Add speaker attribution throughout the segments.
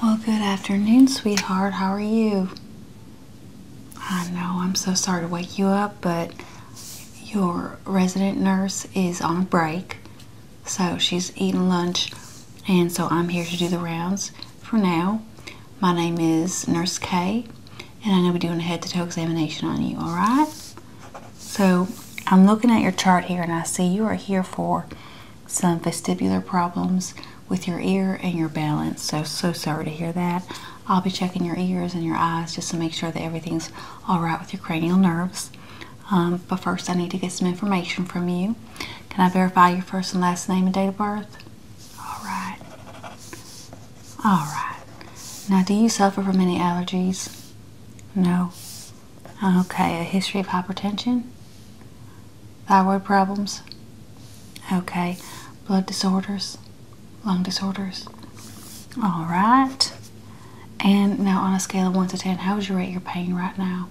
Speaker 1: Well, good afternoon, sweetheart. How are you? I know I'm so sorry to wake you up, but your resident nurse is on a break. So she's eating lunch, and so I'm here to do the rounds for now. My name is Nurse Kay, and I know we're doing a head to toe examination on you, all right? So I'm looking at your chart here, and I see you are here for some vestibular problems with your ear and your balance. So, so sorry to hear that. I'll be checking your ears and your eyes just to make sure that everything's all right with your cranial nerves. Um, but first, I need to get some information from you. Can I verify your first and last name and date of birth? All right. All right. Now, do you suffer from any allergies? No. Okay, a history of hypertension, thyroid problems, okay, blood disorders, lung disorders. All right. And now, on a scale of 1 to 10, how would you rate your pain right now?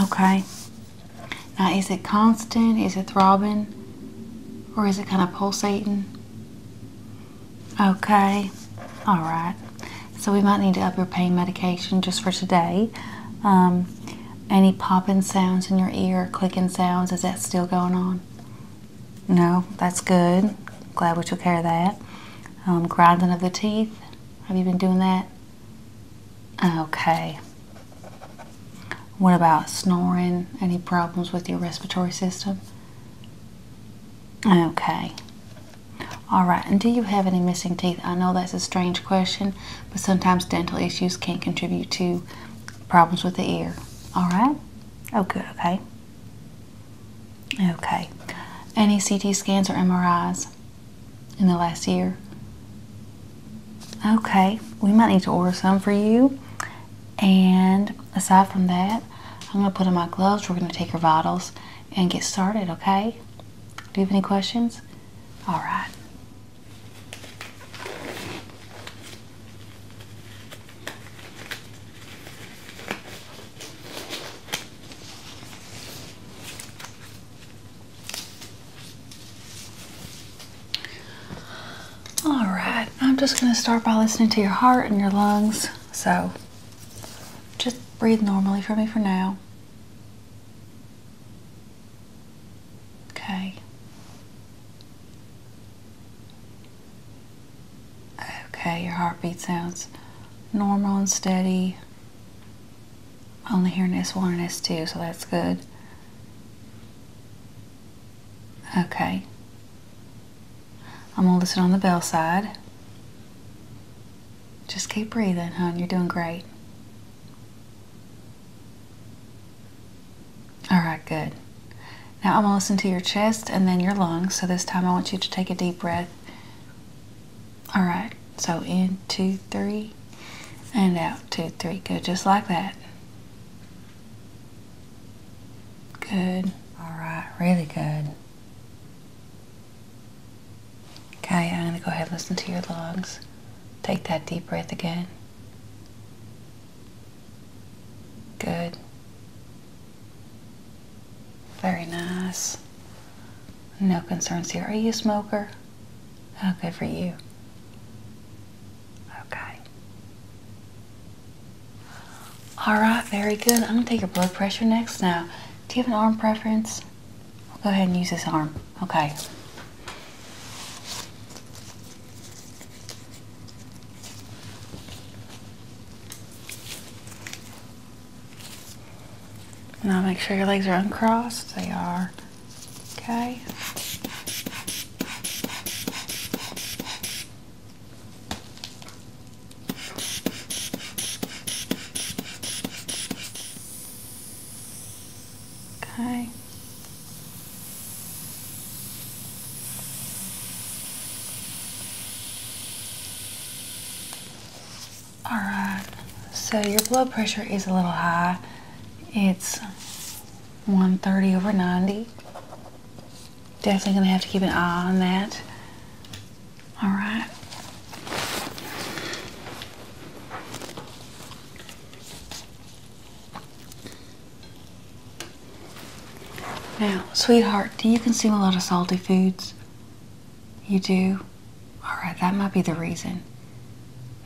Speaker 1: Okay. Now, is it constant? Is it throbbing? Or is it kind of pulsating? Okay. All right so we might need to up your pain medication just for today. Um, any popping sounds in your ear, clicking sounds, is that still going on? No, that's good. Glad we took care of that. Um, grinding of the teeth, have you been doing that? Okay. What about snoring? Any problems with your respiratory system? Okay. All right, and do you have any missing teeth? I know that's a strange question, but sometimes dental issues can contribute to problems with the ear. All right? Oh, good, okay. Okay. Any CT scans or MRIs in the last year? Okay, we might need to order some for you. And aside from that, I'm going to put on my gloves. We're going to take your vitals and get started, okay? Do you have any questions? All right. All right, I'm just going to start by listening to your heart and your lungs. So just breathe normally for me for now. Okay. Okay, your heartbeat sounds normal and steady. Only hearing S1 and S2, so that's good. Okay. I'm going to listen on the bell side. Just keep breathing, hon. You're doing great. All right, good. Now I'm going to listen to your chest and then your lungs. So this time I want you to take a deep breath. All right. So in, two, three, and out, two, three. Good. Just like that. Good. All right. Really good. Okay, I'm going to go ahead and listen to your lungs. Take that deep breath again. Good. Very nice. No concerns here. Are you a smoker? Oh, good for you. Okay. All right, very good. I'm going to take your blood pressure next. Now, do you have an arm preference? I'll go ahead and use this arm. Okay. Now make sure your legs are uncrossed. They are. Okay. Okay. All right, so your blood pressure is a little high. It's 130 over 90. Definitely gonna have to keep an eye on that. All right. Now, sweetheart, do you consume a lot of salty foods? You do? All right, that might be the reason.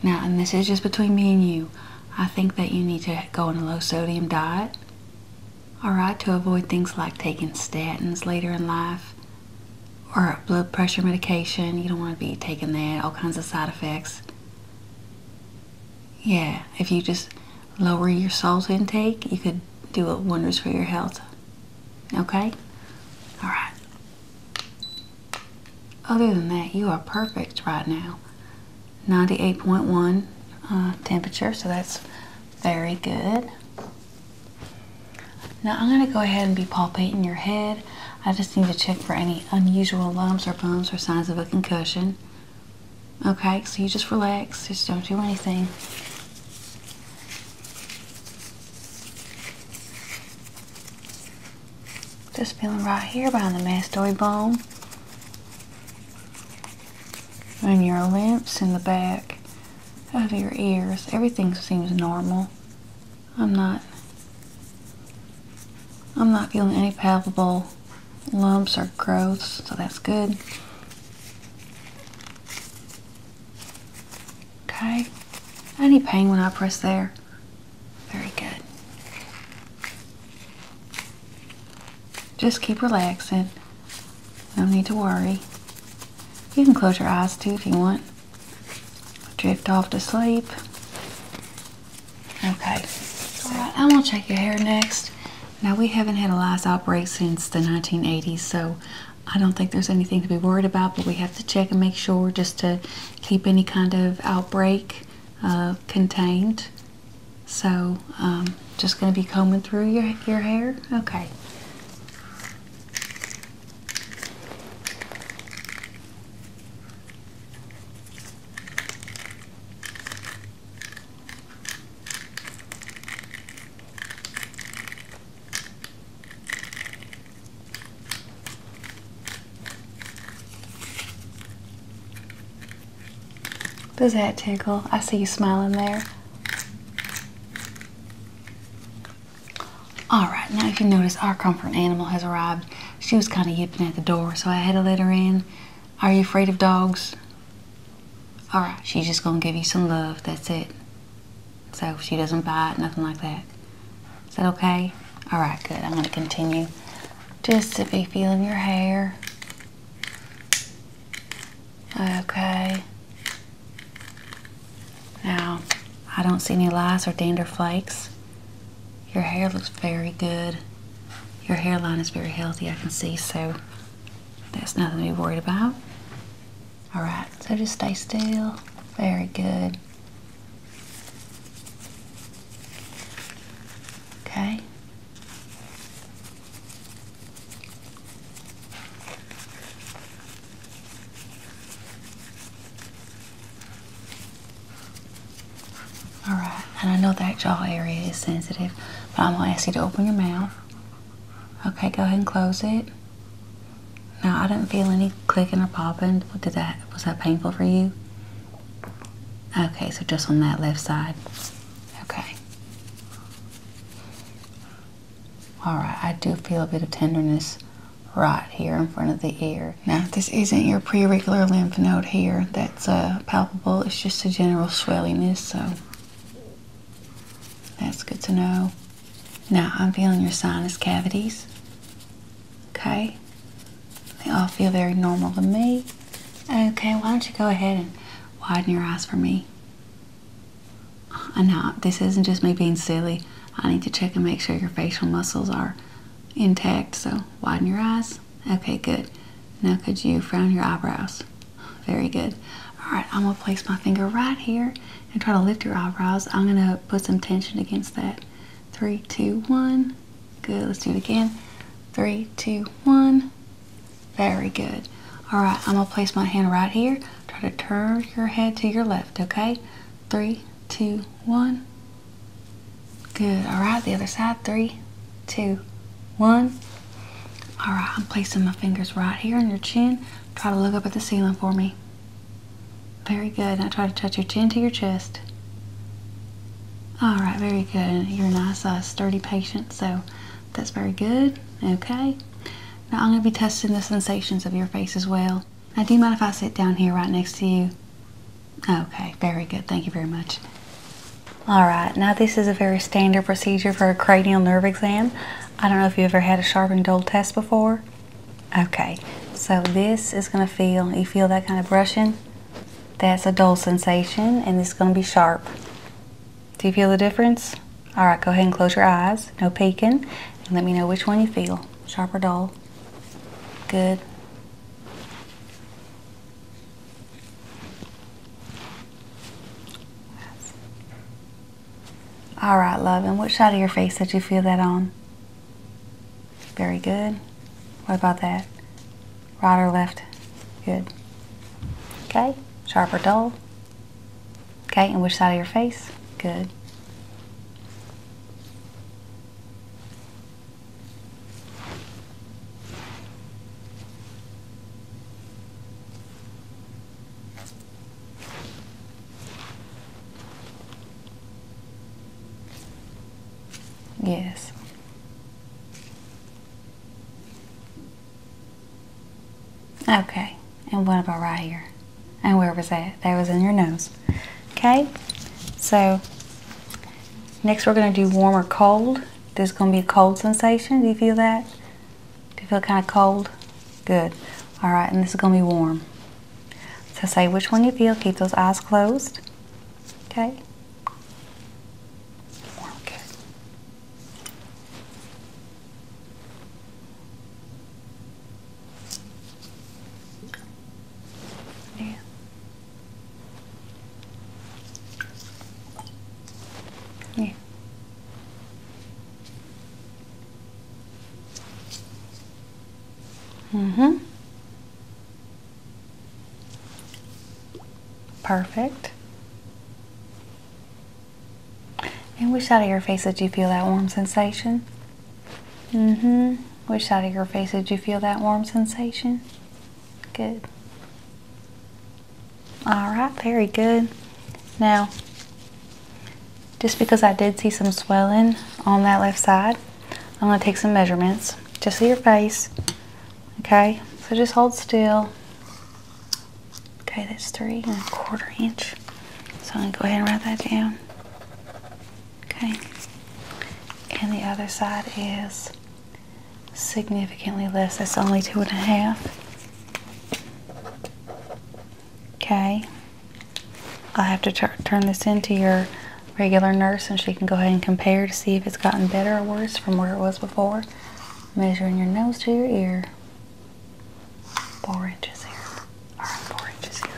Speaker 1: Now, and this is just between me and you, I think that you need to go on a low sodium diet. All right, to avoid things like taking statins later in life, or blood pressure medication. You don't want to be taking that, all kinds of side effects. Yeah, if you just lower your salt intake, you could do wonders for your health. Okay? All right. Other than that, you are perfect right now. 98.1 uh, temperature, so that's very good. Now I'm going to go ahead and be palpating your head. I just need to check for any unusual lumps or bumps or signs of a concussion. Okay, so you just relax, just don't do anything. Just feeling right here behind the mastoid bone. And your limbs in the back of your ears. Everything seems normal. I'm not I'm not feeling any palpable lumps or growths, so that's good. Okay. Any pain when I press there? Very good. Just keep relaxing. No need to worry. You can close your eyes too if you want drift off to sleep. Okay, alright, I'm gonna check your hair next. Now we haven't had a last outbreak since the 1980s, so I don't think there's anything to be worried about, but we have to check and make sure just to keep any kind of outbreak uh, contained. So, um, just going to be combing through your, your hair. Okay. Does that tickle? I see you smiling there. All right, now if you notice, our comfort animal has arrived. She was kind of yipping at the door, so I had to let her in. Are you afraid of dogs? All right, she's just gonna give you some love, that's it. So she doesn't bite, nothing like that. Is that okay? All right, good, I'm gonna continue. Just to be feeling your hair. Okay. Now, I don't see any lice or dander flakes. Your hair looks very good. Your hairline is very healthy, I can see, so that's nothing to be worried about. All right, so just stay still. Very good. Okay. All right, and I know that jaw area is sensitive, but I'm gonna ask you to open your mouth. Okay, go ahead and close it. Now, I didn't feel any clicking or popping. Did that? Was that painful for you? Okay, so just on that left side. Okay. All right, I do feel a bit of tenderness right here in front of the ear. Now, this isn't your preauricular lymph node here that's uh, palpable, it's just a general swellingness, so that's good to know. Now, I'm feeling your sinus cavities, okay? They all feel very normal to me. Okay, why don't you go ahead and widen your eyes for me? I uh, know this isn't just me being silly. I need to check and make sure your facial muscles are intact, so widen your eyes. Okay, good. Now could you frown your eyebrows? Very good. All right, I'm gonna place my finger right here and try to lift your eyebrows. I'm gonna put some tension against that. Three, two, one. Good, let's do it again. Three, two, one. Very good. All right, I'm gonna place my hand right here. Try to turn your head to your left, okay? Three, two, one. Good. All right, the other side. Three, two, one. All right, I'm placing my fingers right here on your chin. Try to look up at the ceiling for me. Very good. Now try to touch your chin to your chest. All right, very good. You're a nice, uh, sturdy patient, so that's very good. Okay. Now I'm going to be testing the sensations of your face as well. Now, do you mind if I sit down here right next to you? Okay, very good. Thank you very much. All right, now this is a very standard procedure for a cranial nerve exam. I don't know if you ever had a sharpened dull test before. Okay, so this is gonna feel, you feel that kind of brushing? That's a dull sensation and it's gonna be sharp. Do you feel the difference? All right, go ahead and close your eyes, no peeking, and let me know which one you feel, sharp or dull. Good. All right, love. And which side of your face did you feel that on? Very good. What about that? Right or left? Good. Okay. Sharp or dull? Okay. And which side of your face? Good. Yes. Okay, and what about right here? And where was that? That was in your nose. Okay, so next we're going to do warm or cold. There's going to be a cold sensation. Do you feel that? Do you feel kind of cold? Good. All right, and this is going to be warm. So say which one you feel. Keep those eyes closed. Okay. Yeah. Yeah. Mm-hmm. Perfect. And which side of your face did you feel that warm sensation? Mm-hmm. Which side of your face did you feel that warm sensation? Good. All right, very good. Now, just because I did see some swelling on that left side, I'm going to take some measurements just of your face. Okay, so just hold still. Okay, that's three and a quarter inch. So I'm going to go ahead and write that down. Okay. And the other side is significantly less. That's only two and a half. Okay. I'll have to turn this into your regular nurse and she can go ahead and compare to see if it's gotten better or worse from where it was before. Measuring your nose to your ear. Four inches here. Alright, four inches here.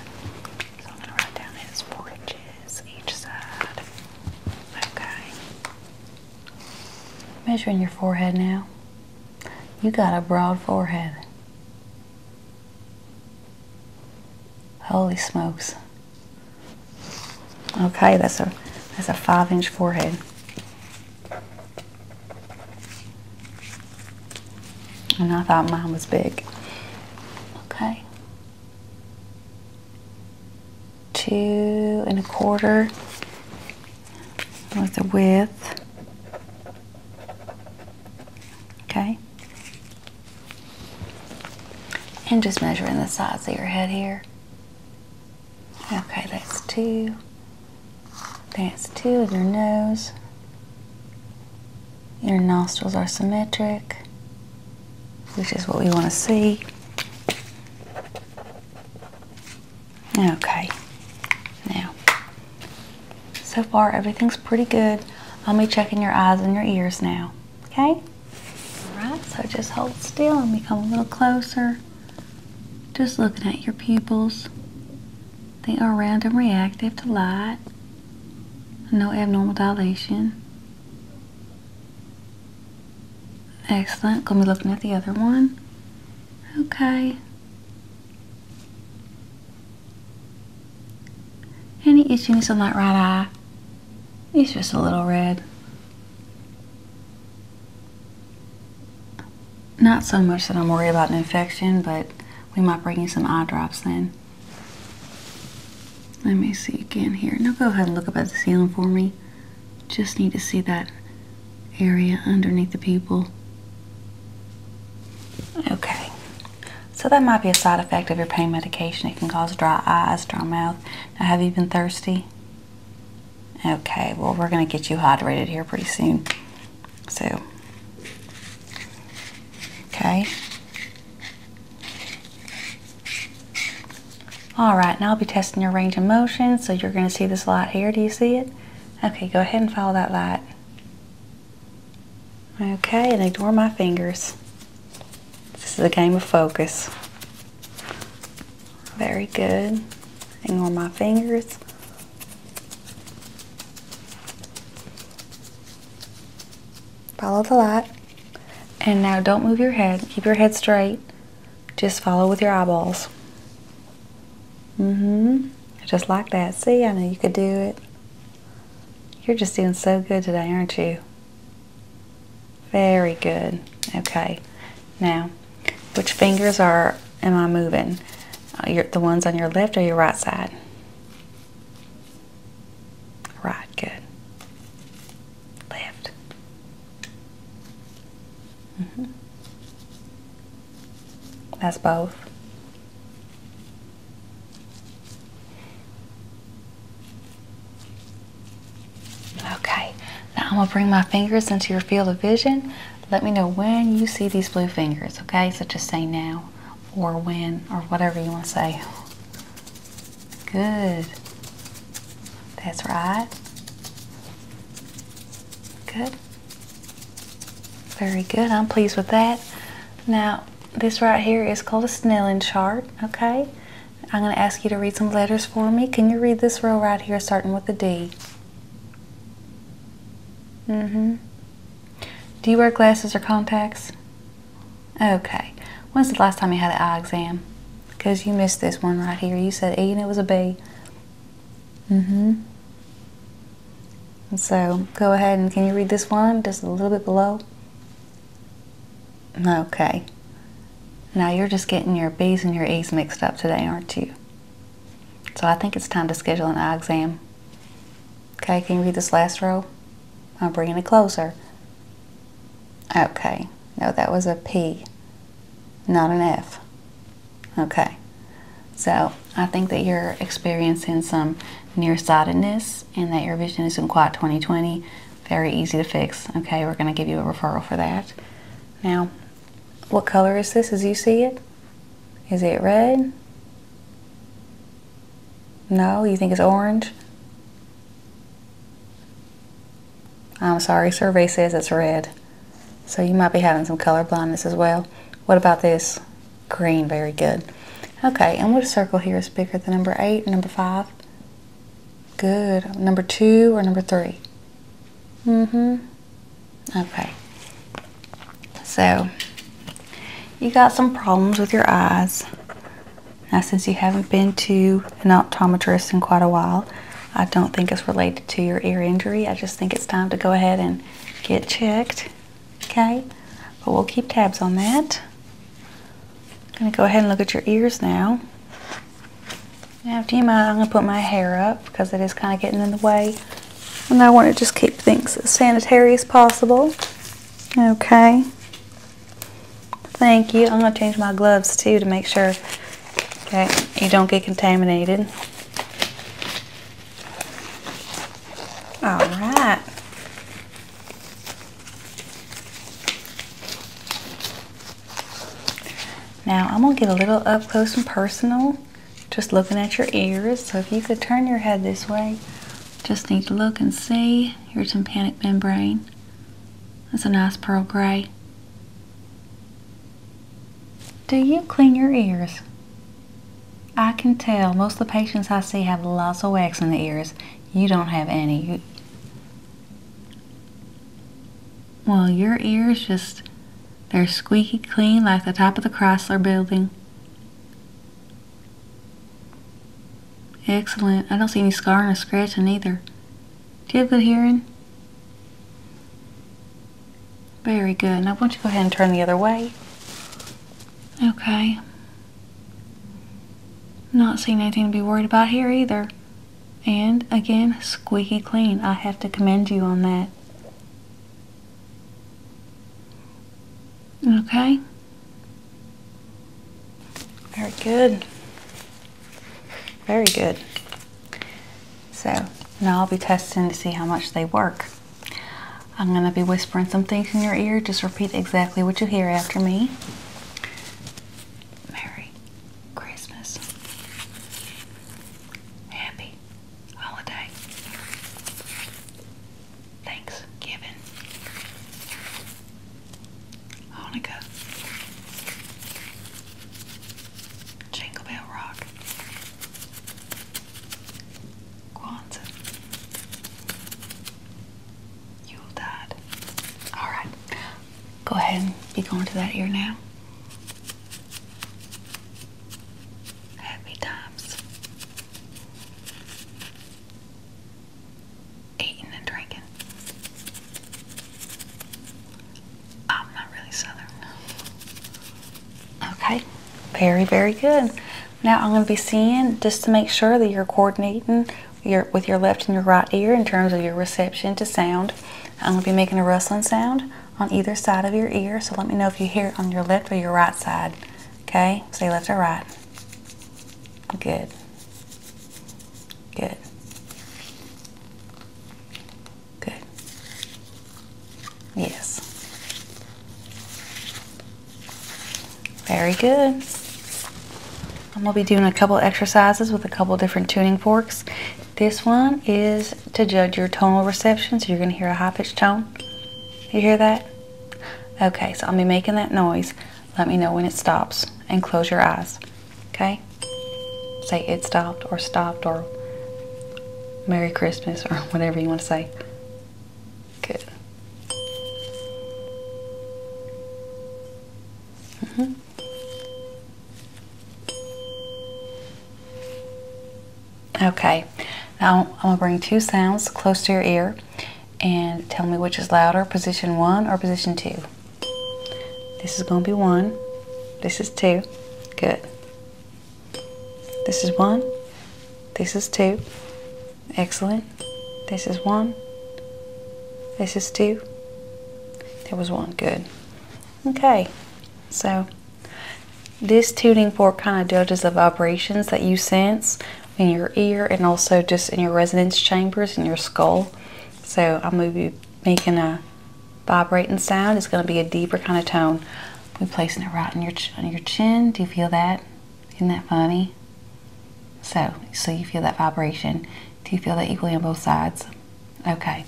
Speaker 1: So I'm going to write down his four inches each side. Okay. Measuring your forehead now. You got a broad forehead. Holy smokes. Okay, that's a that's a five inch forehead. And I thought mine was big. Okay two and a quarter with the width. Okay. And just measuring the size of your head here. Okay, that's two. That's two of your nose. Your nostrils are symmetric, which is what we want to see. Okay, now, so far everything's pretty good. I'll be checking your eyes and your ears now, okay? Alright, so just hold still and we come a little closer. Just looking at your pupils. They are round and reactive to light. No abnormal dilation. Excellent. Gonna be looking at the other one. Okay. Any itchiness on that right eye? It's just a little red. Not so much that I'm worried about an infection, but we might bring you some eye drops then. Let me see again here. Now go ahead and look up at the ceiling for me. Just need to see that area underneath the people. Okay. So that might be a side effect of your pain medication. It can cause dry eyes, dry mouth. have you been thirsty? Okay, well we're gonna get you hydrated here pretty soon. So, okay. All right, now I'll be testing your range of motion. So you're going to see this light here. Do you see it? Okay, go ahead and follow that light. Okay, and ignore my fingers. This is a game of focus. Very good. Ignore my fingers. Follow the light. And now don't move your head. Keep your head straight. Just follow with your eyeballs. Mm-hmm. Just like that. See, I know you could do it. You're just doing so good today, aren't you? Very good. Okay. Now, which fingers are am I moving? Uh, the ones on your left or your right side? Right, good. Left. -hmm. That's both. Okay, now I'm gonna bring my fingers into your field of vision. Let me know when you see these blue fingers, okay? So just say now or when or whatever you want to say. Good. That's right. Good. Very good. I'm pleased with that. Now, this right here is called a Snellen chart, okay? I'm going to ask you to read some letters for me. Can you read this row right here starting with the D? D? Mm-hmm. Do you wear glasses or contacts? Okay. When's the last time you had an eye exam? Because you missed this one right here. You said A and it was a B. Mm-hmm. So go ahead and can you read this one just a little bit below? Okay. Now you're just getting your B's and your E's mixed up today, aren't you? So I think it's time to schedule an eye exam. Okay, can you read this last row? I'm bringing it closer. Okay. No, that was a P, not an F. Okay. So I think that you're experiencing some nearsightedness and that your vision isn't quite 2020. Very easy to fix. Okay, we're going to give you a referral for that. Now, what color is this as you see it? Is it red? No, you think it's orange? I'm sorry, survey says it's red. So you might be having some color blindness as well. What about this? Green, very good. Okay, and what circle here is bigger than number eight number five? Good. Number two or number three? Mm-hmm. Okay. So, you got some problems with your eyes. Now, since you haven't been to an optometrist in quite a while, I don't think it's related to your ear injury. I just think it's time to go ahead and get checked. Okay? But we'll keep tabs on that. I'm going to go ahead and look at your ears now. Now, if you mind, I'm going to put my hair up because it is kind of getting in the way. And I want to just keep things as sanitary as possible. Okay. Thank you. I'm going to change my gloves too to make sure okay, you don't get contaminated. All right. Now I'm going to get a little up close and personal just looking at your ears. So if you could turn your head this way, just need to look and see your tympanic membrane. That's a nice pearl gray. Do you clean your ears? I can tell most of the patients I see have lots of wax in the ears. You don't have any. Well, your ears just, they're squeaky clean like the top of the Chrysler building. Excellent. I don't see any scarring or scratching either. Do you have good hearing? Very good. Now, why don't you go ahead and turn the other way? Okay. Not seeing anything to be worried about here either. And again, squeaky clean. I have to commend you on that. Okay. Very good. Very good. So now I'll be testing to see how much they work. I'm going to be whispering some things in your ear. Just repeat exactly what you hear after me. Merry Christmas. Happy holiday. Thanksgiving. Hanukkah, Jingle Bell Rock, Kwanzaa, Yuletide. Alright, go ahead and be going to that ear now. Happy times eating and drinking. I'm not really southern. Okay, very, very good. Now I'm going to be seeing just to make sure that you're coordinating your, with your left and your right ear in terms of your reception to sound. I'm going to be making a rustling sound on either side of your ear, so let me know if you hear it on your left or your right side. Okay, say left or right. Good. Good. Good. Yes. Very good. I'm going to be doing a couple exercises with a couple different tuning forks. This one is to judge your tonal reception, so you're going to hear a high pitched tone. You hear that? Okay, so I'll be making that noise. Let me know when it stops and close your eyes. Okay? Say it stopped or stopped or Merry Christmas or whatever you want to say. Good. Mm-hmm. Okay, now I'm going to bring two sounds close to your ear and tell me which is louder, position one or position two. This is going to be one. This is two. Good. This is one. This is two. Excellent. This is one. This is two. There was one. Good. Okay. So this tuning fork kind of judges the vibrations that you sense in your ear and also just in your resonance chambers in your skull. So I'm going to be making a vibrating sound. It's going to be a deeper kind of tone. We're placing it right on your, on your chin. Do you feel that? Isn't that funny? So, so you feel that vibration. Do you feel that equally on both sides? Okay.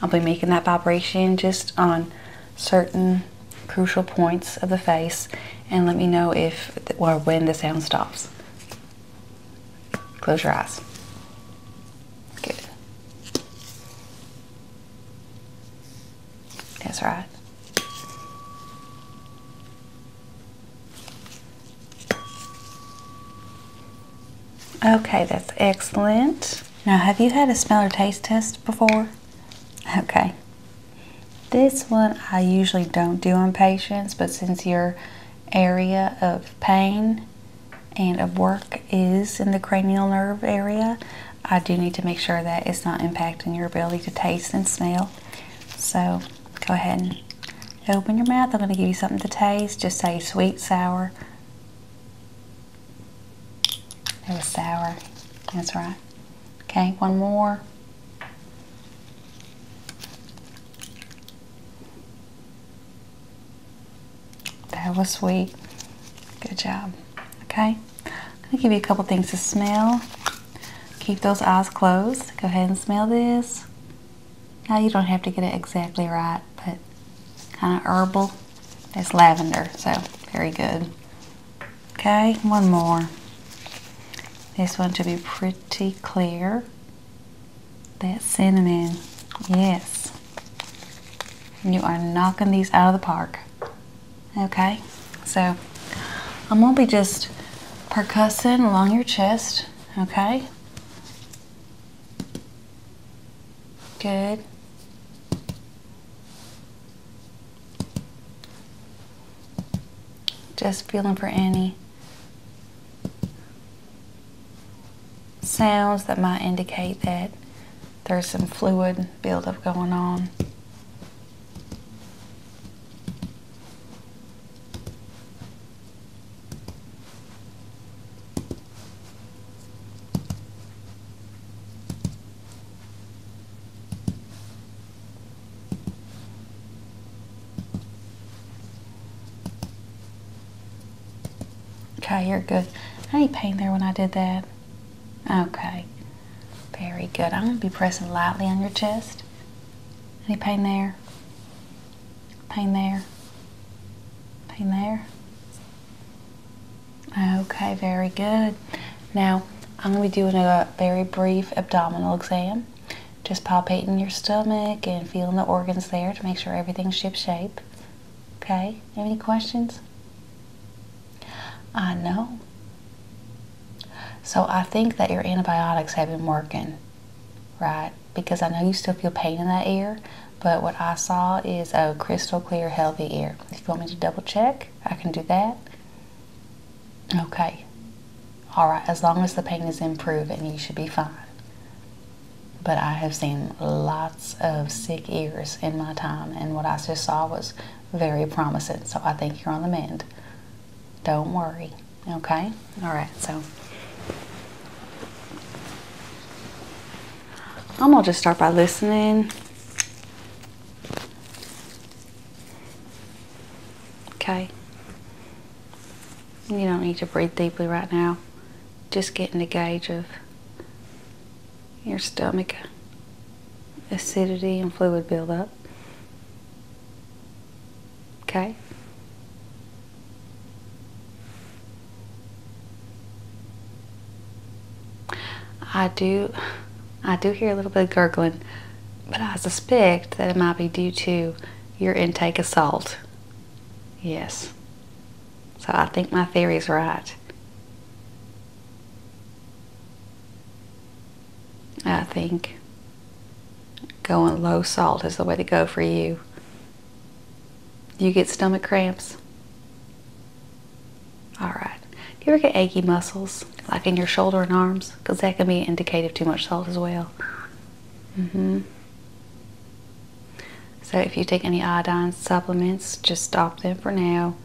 Speaker 1: I'll be making that vibration just on certain crucial points of the face and let me know if or when the sound stops. Close your eyes. Good. That's right. Okay, that's excellent. Now, have you had a smell or taste test before? Okay. This one I usually don't do on patients, but since your area of pain and of work is in the cranial nerve area, I do need to make sure that it's not impacting your ability to taste and smell. So go ahead and open your mouth. I'm going to give you something to taste. Just say sweet, sour. It was sour. That's right. Okay, one more. That was sweet. Good job. Okay. I'm gonna give you a couple things to smell. Keep those eyes closed. Go ahead and smell this. Now you don't have to get it exactly right, but kind of herbal. It's lavender, so very good. Okay, one more. This one to be pretty clear. That cinnamon. Yes. You are knocking these out of the park. Okay? So I'm going to be just percussing along your chest. Okay? Good. Just feeling for any sounds that might indicate that there's some fluid buildup going on. Okay, you're good. I ain't pain there when I did that. Okay. Very good. I'm going to be pressing lightly on your chest. Any pain there? Pain there? Pain there? Okay, very good. Now, I'm going to be doing a very brief abdominal exam. Just palpating your stomach and feeling the organs there to make sure everything's ship shape. Okay, any questions? I uh, know. So I think that your antibiotics have been working, right? Because I know you still feel pain in that ear, but what I saw is a crystal clear, healthy ear. If you want me to double check, I can do that. Okay. All right, as long as the pain is improved, and you should be fine. But I have seen lots of sick ears in my time, and what I just saw was very promising. So I think you're on the mend. Don't worry. Okay? All right. So I'm going to just start by listening. Okay. You don't need to breathe deeply right now. Just getting the gauge of your stomach acidity and fluid buildup. Okay? I do, I do hear a little bit of gurgling, but I suspect that it might be due to your intake of salt. Yes. So I think my theory is right. I think going low salt is the way to go for you. You get stomach cramps? All right. you ever get achy muscles, like in your shoulder and arms? Because that can be indicative too much salt as well. Mm-hmm. So if you take any iodine supplements, just stop them for now.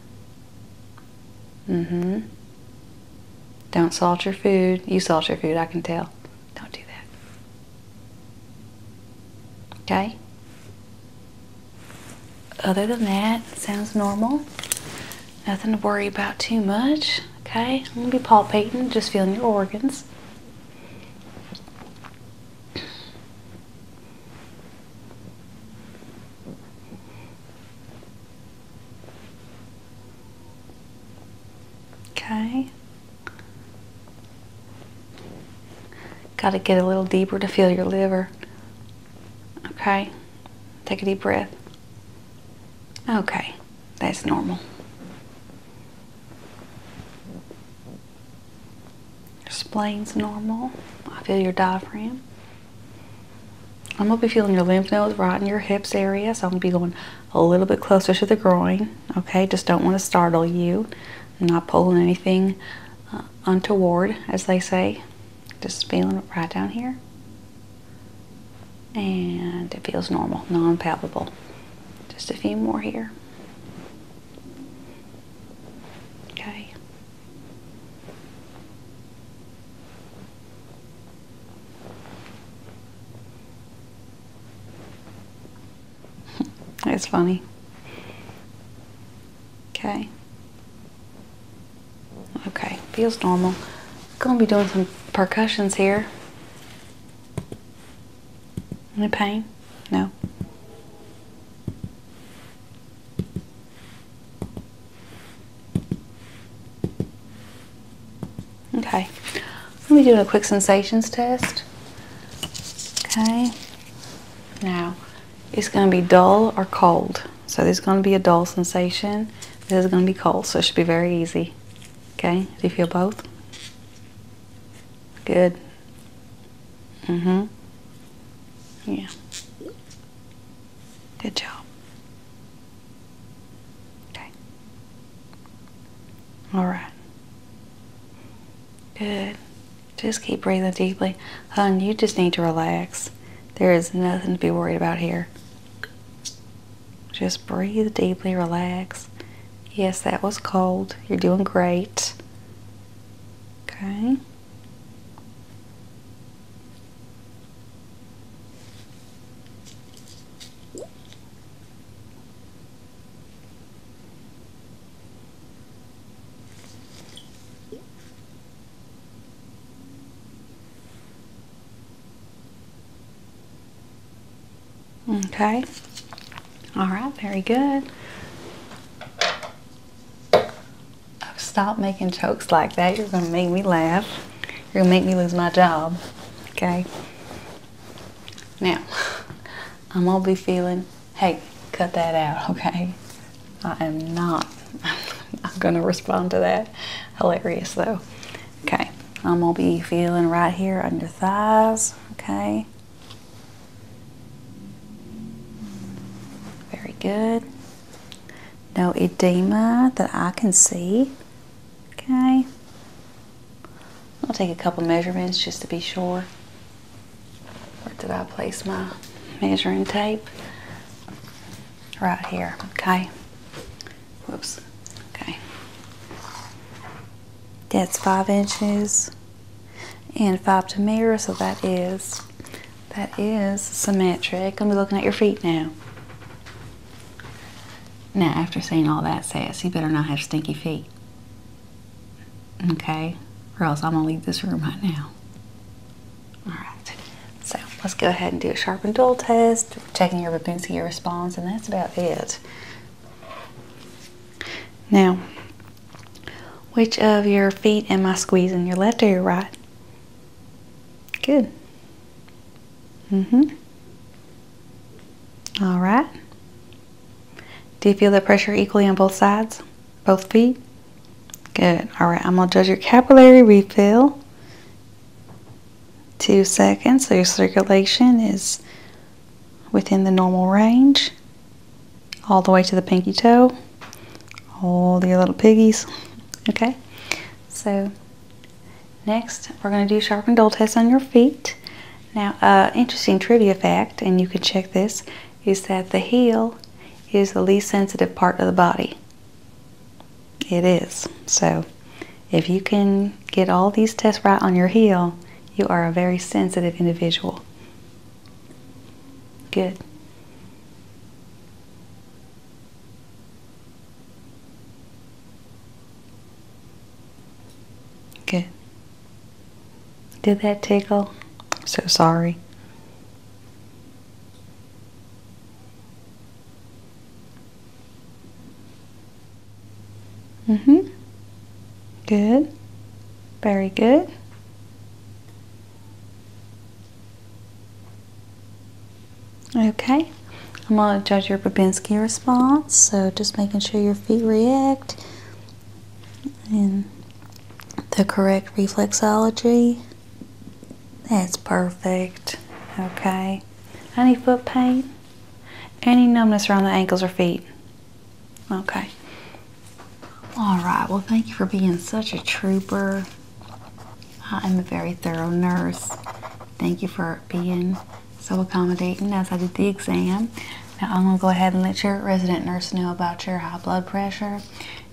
Speaker 1: Mm-hmm. Don't salt your food. You salt your food, I can tell. Don't do that. Okay? Other than that, sounds normal. Nothing to worry about too much. Okay? I'm going to be palpating, just feeling your organs. Okay. Got to get a little deeper to feel your liver. Okay. Take a deep breath. Okay. That's normal. Your normal. I feel your diaphragm. I'm going to be feeling your lymph nodes right in your hips area. So I'm going to be going a little bit closer to the groin. Okay, just don't want to startle you. not pulling anything uh, untoward, as they say. Just feeling right down here. And it feels normal, non palpable. Just a few more here. Okay. It's funny. Okay. Okay, feels normal. Gonna be doing some percussions here. Any pain? No. Okay, let me do a quick sensations test. Okay, now it's going to be dull or cold. So there's going to be a dull sensation. This is going to be cold, so it should be very easy. Okay, do you feel both? Good. Mm-hmm. Yeah. Good job. Okay. All right. Good. Just keep breathing deeply. Hun, you just need to relax. There is nothing to be worried about here. Just breathe deeply, relax. Yes, that was cold. You're doing great. Okay. Okay. All right, very good. Oh, stop making jokes like that. You're going to make me laugh. You're going to make me lose my job. Okay. Now, I'm going to be feeling, hey, cut that out, okay? I am not. I'm going to respond to that. Hilarious, though. Okay. I'm going to be feeling right here under thighs, okay? Very good. No edema that I can see. Okay. I'll take a couple measurements just to be sure. Where did I place my measuring tape? Right here. Okay. Whoops. Okay. That's five inches and five to mirror, so that is that is symmetric. I'm looking at your feet now. Now, after seeing all that sass, you better not have stinky feet. Okay? Or else I'm gonna leave this room right now. Alright. So let's go ahead and do a sharp and dull test, checking your babunsky response, and that's about it. Now, which of your feet am I squeezing? Your left or your right? Good. Mm-hmm. All right. Do you feel the pressure equally on both sides? Both feet? Good. All right, I'm going to judge your capillary refill. Two seconds, so your circulation is within the normal range, all the way to the pinky toe. All the little piggies. Okay, so next we're going to do sharp and dull tests on your feet. Now, interesting trivia fact, and you can check this, is that the heel is the least sensitive part of the body. It is. So, if you can get all these tests right on your heel, you are a very sensitive individual. Good. Good. Did that tickle? i so sorry. Mm-hmm. Good. Very good. Okay. I'm going to judge your Babinski response, so just making sure your feet react and the correct reflexology. That's perfect. Okay. Any foot pain? Any numbness around the ankles or feet? Okay. All right. Well, thank you for being such a trooper. I am a very thorough nurse. Thank you for being so accommodating as I did the exam. Now, I'm going to go ahead and let your resident nurse know about your high blood pressure,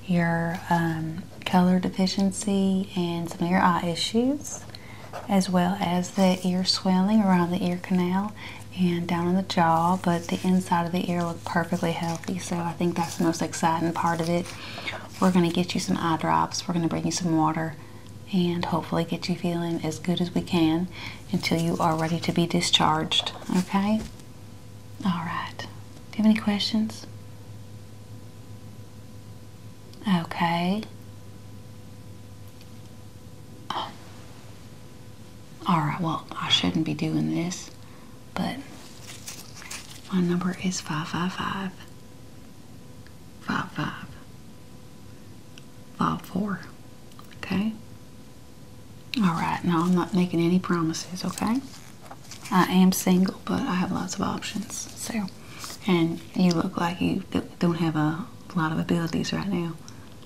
Speaker 1: your um, color deficiency, and some of your eye issues, as well as the ear swelling around the ear canal and down on the jaw, but the inside of the ear looked perfectly healthy. So I think that's the most exciting part of it. We're going to get you some eye drops, we're going to bring you some water, and hopefully get you feeling as good as we can until you are ready to be discharged. Okay? All right. Do you have any questions? Okay. All right, well, I shouldn't be doing this, but my number is 555 55 54. Okay? All right, now I'm not making any promises, okay? I am single, but I have lots of options, so. And you look like you don't have a lot of abilities right now.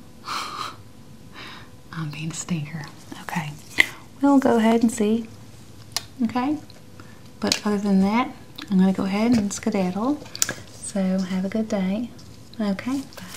Speaker 1: I'm being a stinker. Okay. We'll go ahead and see. Okay. But other than that, I'm going to go ahead and skedaddle. So have a good day. Okay. Bye.